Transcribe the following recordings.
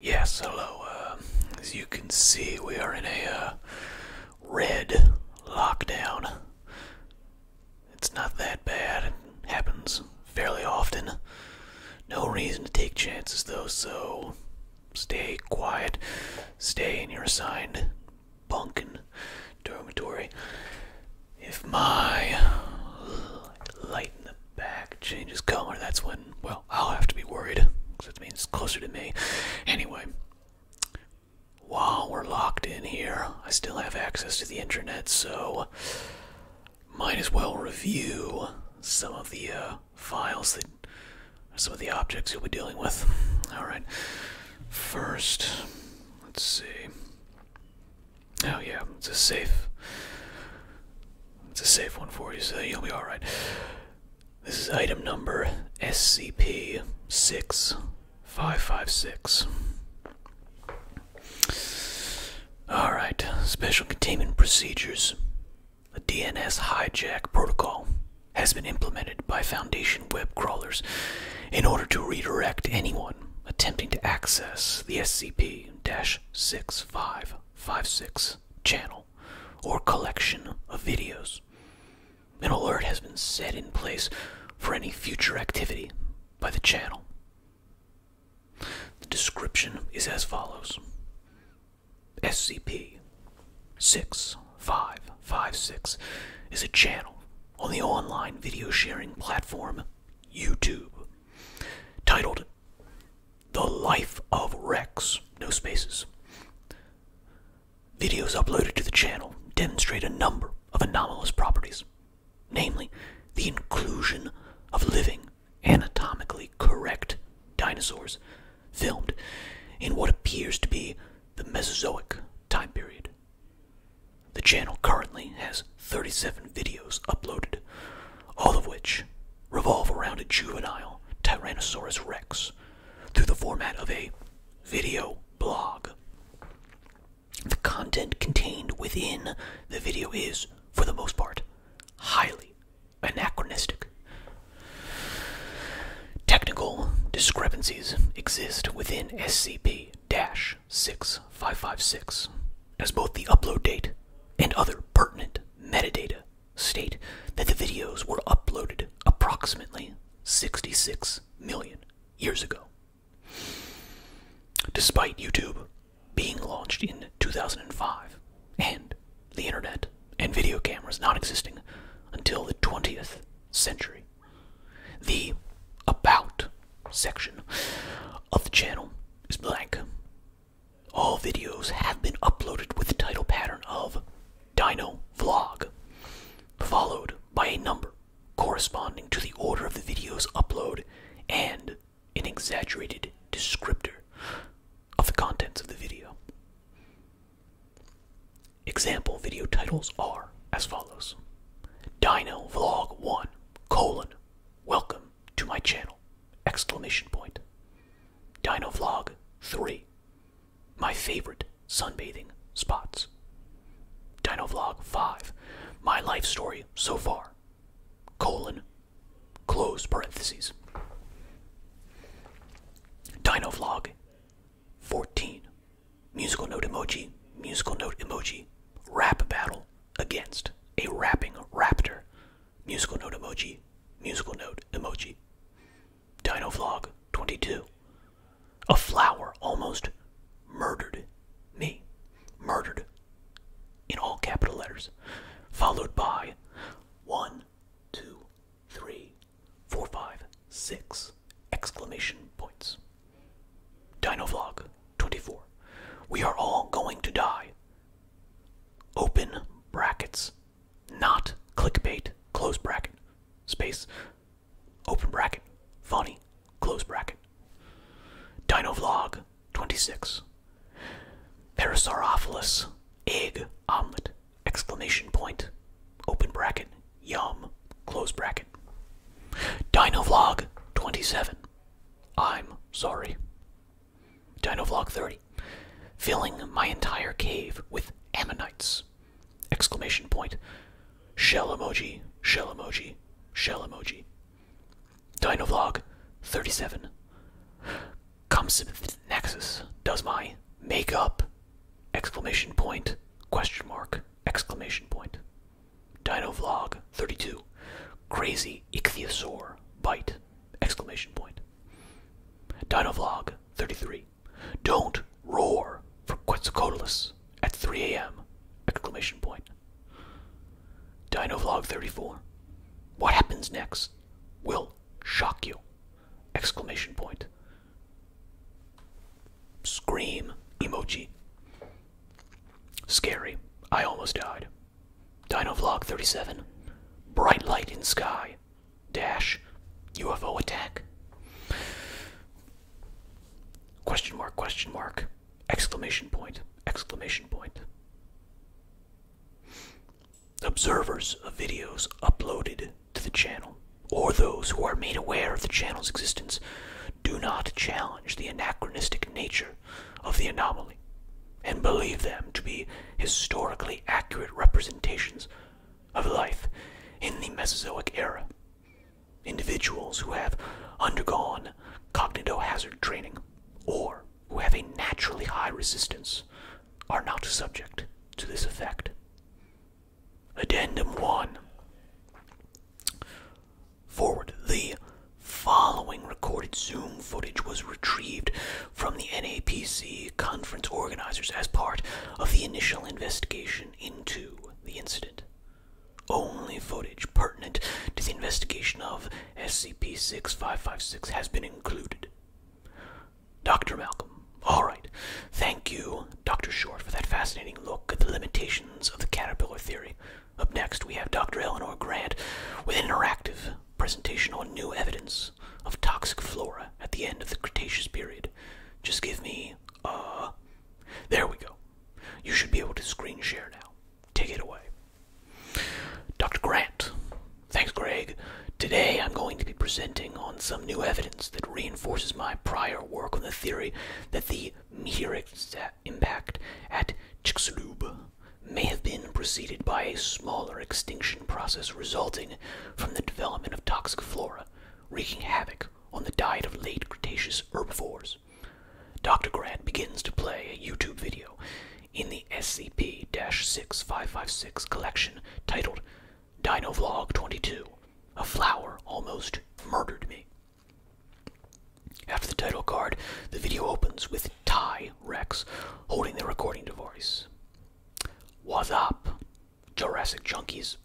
Yes, hello. Uh, as you can see, we are in a uh, red lockdown. It's not that bad, it happens fairly often. No reason to take chances, though, so stay quiet, stay in your assigned bunk and dormitory. If my light in the back changes color, that's when, well, I'll, have to be worried because it means it's closer to me. Anyway, while we're locked in here, I still have access to the internet, so might as well review some of the uh, files that some of the objects you'll be dealing with. All right, first, let's see. Oh yeah, it's a safe. It's a safe one for you, so you'll be alright. This is item number SCP 6556. Alright, special containment procedures. A DNS hijack protocol has been implemented by Foundation web crawlers in order to redirect anyone attempting to access the SCP 6556 channel or collection of videos. An alert has been set in place for any future activity by the channel. The description is as follows SCP 6556 is a channel on the online video sharing platform YouTube titled the Life of Rex, no spaces. Videos uploaded to the channel demonstrate a number of anomalous properties, namely the inclusion of living, anatomically correct dinosaurs filmed in what appears to be the Mesozoic time period. The channel currently has 37 videos uploaded, all of which revolve around a juvenile Tyrannosaurus rex through the format of a video blog. The content contained within the video is, for the most part, highly anachronistic. Technical discrepancies exist within SCP 6556, as both the upload date and other pertinent metadata state that the videos were uploaded approximately 66 million years ago. Despite YouTube being launched in 2005 and the internet and video cameras not existing until the 20th century, the About section of the channel is blank all videos have been uploaded with the title pattern of Dino Vlog, followed by a number corresponding to the order of the video's upload and an exaggerated descriptor of the contents of the video. Example video titles are as follows Dino Vlog 1 colon Welcome to my channel! Exclamation point. Dino Vlog 3. My favorite sunbathing spots. Dino Vlog 5. My life story so far. Colon. Close parentheses. Dino Vlog 14. Musical note emoji. Musical note emoji. Rap battle against a rapping raptor musical note emoji, musical note emoji. Dino Vlog 22. A flower almost murdered me. Murdered. In all capital letters. Followed by one, two, three, four, five, six exclamation points. Dino Vlog 24. We are all going to die. Open brackets. Not clickbait. Close bracket. Space. Open bracket. Funny. Close bracket. Dino Vlog 26. Parasaurophilus. Egg omelet. Exclamation point. Open bracket. Yum. Close bracket. Dino Vlog 27. I'm sorry. Dino Vlog 30. Filling my entire cave with ammonites. Exclamation point. Shell emoji, shell emoji, shell emoji. Dino Vlog 37. Comsith Nexus does my makeup. Exclamation point, question mark, exclamation point. Dino Vlog 32. Crazy Ichthyosaur bite! Exclamation point. Dino vlog 33. Don't roar for Quetzalcoatlus at 3 a.m. Exclamation point. Dinovlog 34. What happens next will shock you. Exclamation point. Scream emoji. Scary. I almost died. Dino Vlog 37. Bright light in sky. Dash. UFO attack. Question mark, question mark. Exclamation point, exclamation point. Observers of videos uploaded to the channel, or those who are made aware of the channel's existence, do not challenge the anachronistic nature of the anomaly and believe them to be historically accurate representations of life in the Mesozoic era. Individuals who have undergone hazard training or who have a naturally high resistance are not subject to this effect. Addendum 1 Forward, the following recorded Zoom footage was retrieved from the NAPC conference organizers as part of the initial investigation into the incident. Only footage pertinent to the investigation of SCP 6556 has been included. Dr. Malcolm, all right. Thank you, Dr. Short, for that fascinating look at the limitations of the caterpillar theory. Up next, we have Dr. Eleanor Grant with interactive presentation on new evidence of toxic flora at the end of the Cretaceous period. Just give me, uh, there we go. You should be able to screen share now. Take it away. Dr. Grant, thanks, Greg. Today I'm going to be presenting on some new evidence that reinforces my prior work on the theory that the meteoric impact at Chicxulub may have been preceded by a smaller extinction process resulting from the development of toxic flora, wreaking havoc on the diet of late Cretaceous herbivores. Dr. Grant begins to play a YouTube video in the SCP 6556 collection titled Dinovlog 22 A Flower Almost Murdered Me. After the title card, the video opens with Ty Rex, holding the recording device. What's up, Jurassic Junkies?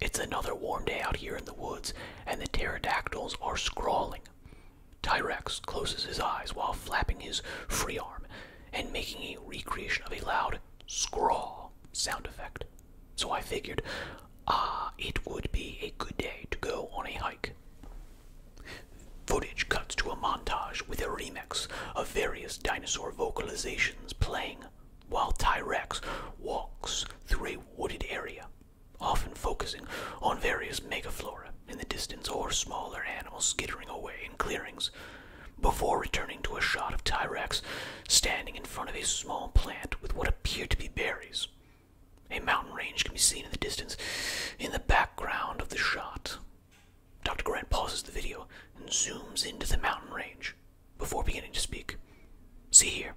It's another warm day out here in the woods, and the pterodactyls are scrawling. Tyrex closes his eyes while flapping his free arm and making a recreation of a loud scrawl sound effect. So I figured, ah, it would be a good day to go on a hike. Footage cuts to a montage with a remix of various dinosaur vocalizations playing while t walks through a wooded area, often focusing on various megafauna in the distance or smaller animals skittering away in clearings, before returning to a shot of t standing in front of a small plant with what appear to be berries. A mountain range can be seen in the distance in the background of the shot, Dr. Grant pauses the video and zooms into the mountain range before beginning to speak. See here.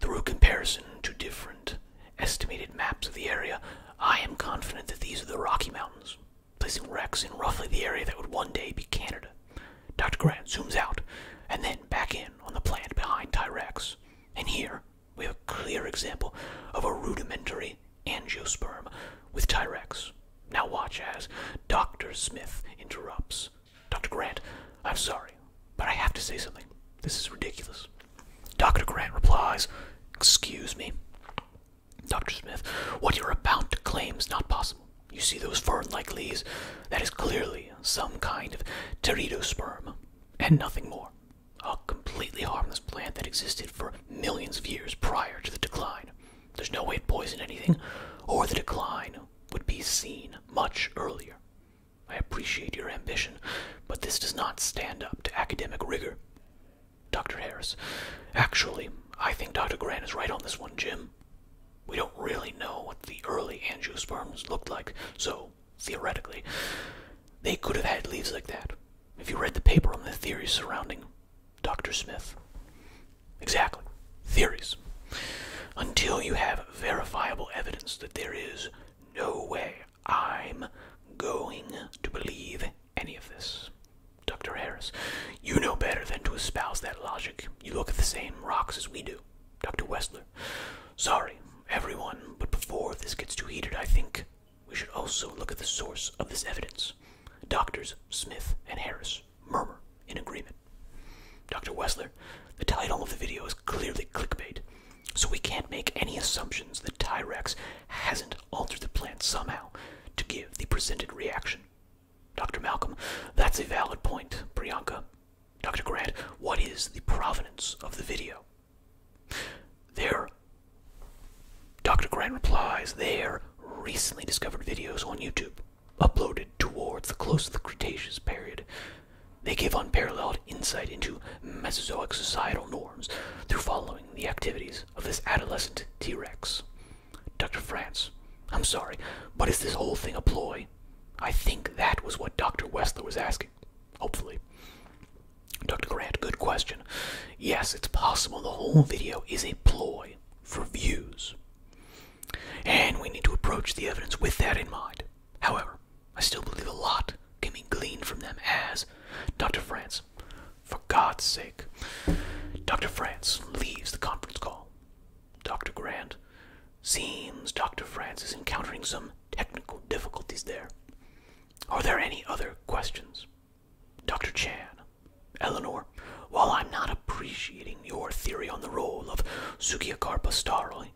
Through comparison to different estimated maps of the area, I am confident that these are the Rocky Mountains, placing Rex in roughly the area that would one day be Canada. Dr. Grant zooms out and then back in on the plant behind Tyrex. And here, we have a clear example of a rudimentary angiosperm with Tyrex. Now watch as Dr. Smith interrupts. Dr. Grant, I'm sorry, but I have to say something. This is ridiculous. Dr. Grant replies, Excuse me. Dr. Smith, what you're about to claim is not possible. You see those fern-like leaves? That is clearly some kind of teridosperm, and nothing more a completely harmless plant that existed for millions of years prior to the decline. There's no way it poisoned anything, or the decline would be seen much earlier. I appreciate your ambition, but this does not stand up to academic rigor. Dr. Harris, actually, I think Dr. Grant is right on this one, Jim. We don't really know what the early angiosperms looked like, so theoretically, they could have had leaves like that. Have you read the paper on the theories surrounding Dr. Smith? Exactly. Theories. Until you have verifiable evidence that there is no way I'm going to believe any of this. Dr. Harris, you know better than to espouse that logic. You look at the same rocks as we do. Dr. Westler, sorry, everyone, but before this gets too heated, I think we should also look at the source of this evidence. Doctors Smith and Harris murmur in agreement. Dr. Wessler, the title of the video is clearly clickbait, so we can't make any assumptions that Tyrex hasn't altered the plant somehow to give the presented reaction. Dr. Malcolm, that's a valid point, Priyanka. Dr. Grant, what is the provenance of the video? There, Dr. Grant replies, there recently discovered videos on YouTube uploaded towards the close of the Cretaceous period. They give unparalleled insight into Mesozoic societal norms through following the activities of this adolescent T Rex. Dr. France, I'm sorry, but is this whole thing a ploy? I think that was what Dr. Westler was asking, hopefully. Dr. Grant, good question. Yes, it's possible the whole video is a ploy for views. And we need to approach the evidence with that in mind. However, I still believe a lot can be gleaned from them as Dr. France, for God's sake. Dr. France leaves the conference call. Dr. Grant seems Dr. France is encountering some technical difficulties there. Are there any other questions? Dr. Chan, Eleanor, while I'm not appreciating your theory on the role of Sugiakarpa starling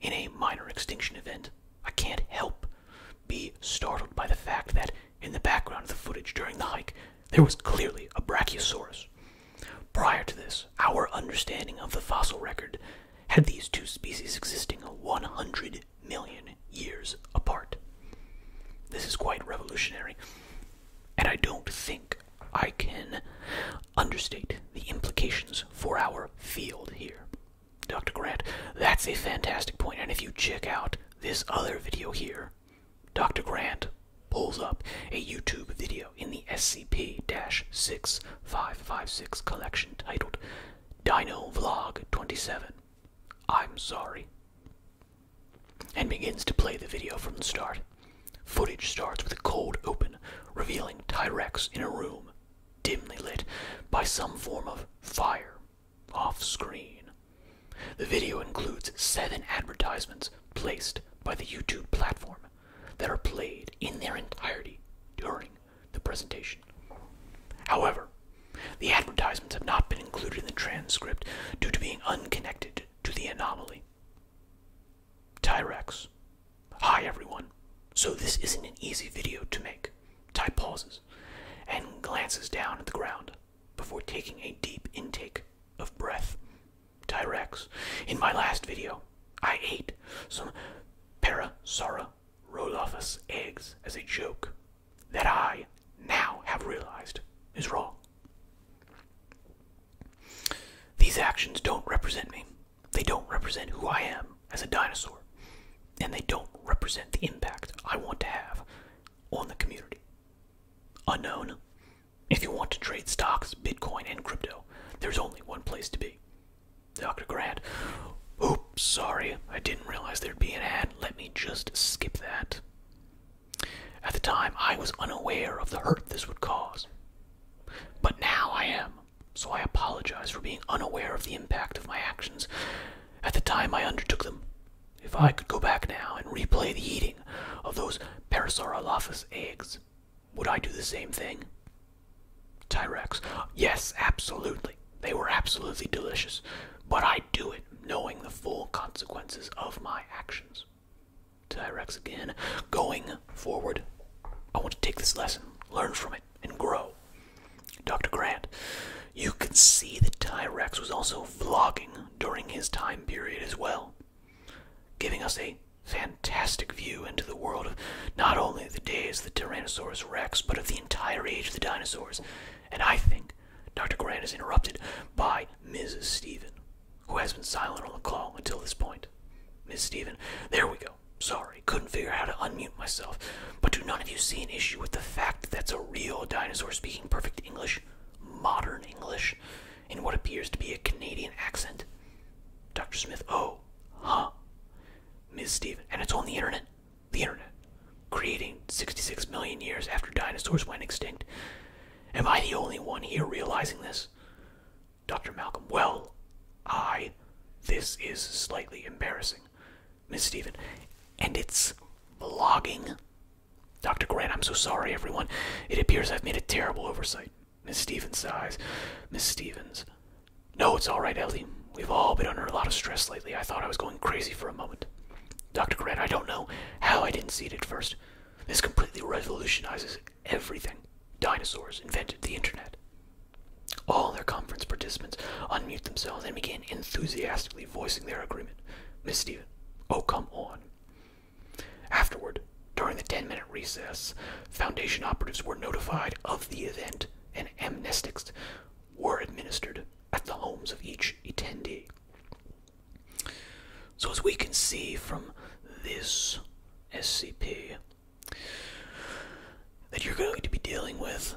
in a minor extinction event, I can't help be startled by the fact that in the background of the footage during the hike, there was clearly a Brachiosaurus. Prior to this, our understanding of the fossil record had these two species existing a 100 million years apart. This is quite revolutionary, and I don't think I can understate the implications for our field here. Dr. Grant, that's a fantastic point, and if you check out this other video here, Dr. Grant pulls up a YouTube video in the SCP 6556 collection titled Dino Vlog 27 I'm sorry. And begins to play the video from the start. Footage starts with a cold open, revealing Tyrex in a room, dimly lit by some form of fire, off screen. The video includes seven advertisements placed by the YouTube platform that are played in their entirety during the presentation. However, the advertisements have not been included in the transcript due to being unconnected to the anomaly. Tyrex. Hi, everyone. So this isn't an easy video to make. Ty pauses and glances down at the ground before taking a deep intake of breath. Tyrex, in my last video, I ate some parasara Rodolphus eggs as a joke that I now have realized is wrong. These actions don't represent me. They don't represent who I am as a dinosaur. And they don't represent the impact I want to have on the community. Unknown. If you want to trade stocks, Bitcoin, and crypto, there's only one place to be. Dr. Grant, who sorry, I didn't realize there'd be an ad. Let me just skip that. At the time, I was unaware of the hurt this would cause. But now I am, so I apologize for being unaware of the impact of my actions at the time I undertook them. If I could go back now and replay the eating of those Parasaurolophus eggs, would I do the same thing? Tyrex, yes, absolutely they were absolutely delicious, but I do it knowing the full consequences of my actions. Tyrex again. Going forward, I want to take this lesson, learn from it, and grow. Dr. Grant, you can see that Tyrex was also vlogging during his time period as well, giving us a fantastic view into the world of not only the days of the Tyrannosaurus Rex, but of the entire age of the dinosaurs and I think Dr. Grant is interrupted by Mrs. Steven, who has been silent on the call until this point. Miss Steven, there we go. Sorry, couldn't figure out how to unmute myself. But do none of you see an issue with the fact that that's a real dinosaur speaking perfect English, modern English, in what appears to be a Canadian accent? Dr. Smith, oh, huh. Ms. Steven, and it's on the internet the internet, creating 66 million years after dinosaurs went extinct. Am I the only one here realizing this? Dr. Malcolm, well, I. This is slightly embarrassing. Miss Stevens, and it's blogging. Dr. Grant, I'm so sorry, everyone. It appears I've made a terrible oversight. Miss Stevens sighs. Miss Stevens, no, it's all right, Ellie. We've all been under a lot of stress lately. I thought I was going crazy for a moment. Dr. Grant, I don't know how I didn't see it at first. This completely revolutionizes everything. Dinosaurs invented the internet. All their conference participants unmute themselves and begin enthusiastically voicing their agreement. Miss Steven, oh come on. Afterward, during the 10 minute recess, Foundation operatives were notified of the event and amnestics were administered at the homes of each attendee. So, as we can see from this SCP, that you're going to be dealing with,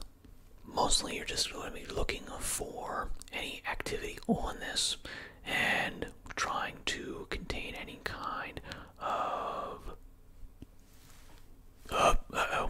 mostly you're just going to be looking for any activity on this and trying to contain any kind of. Uh,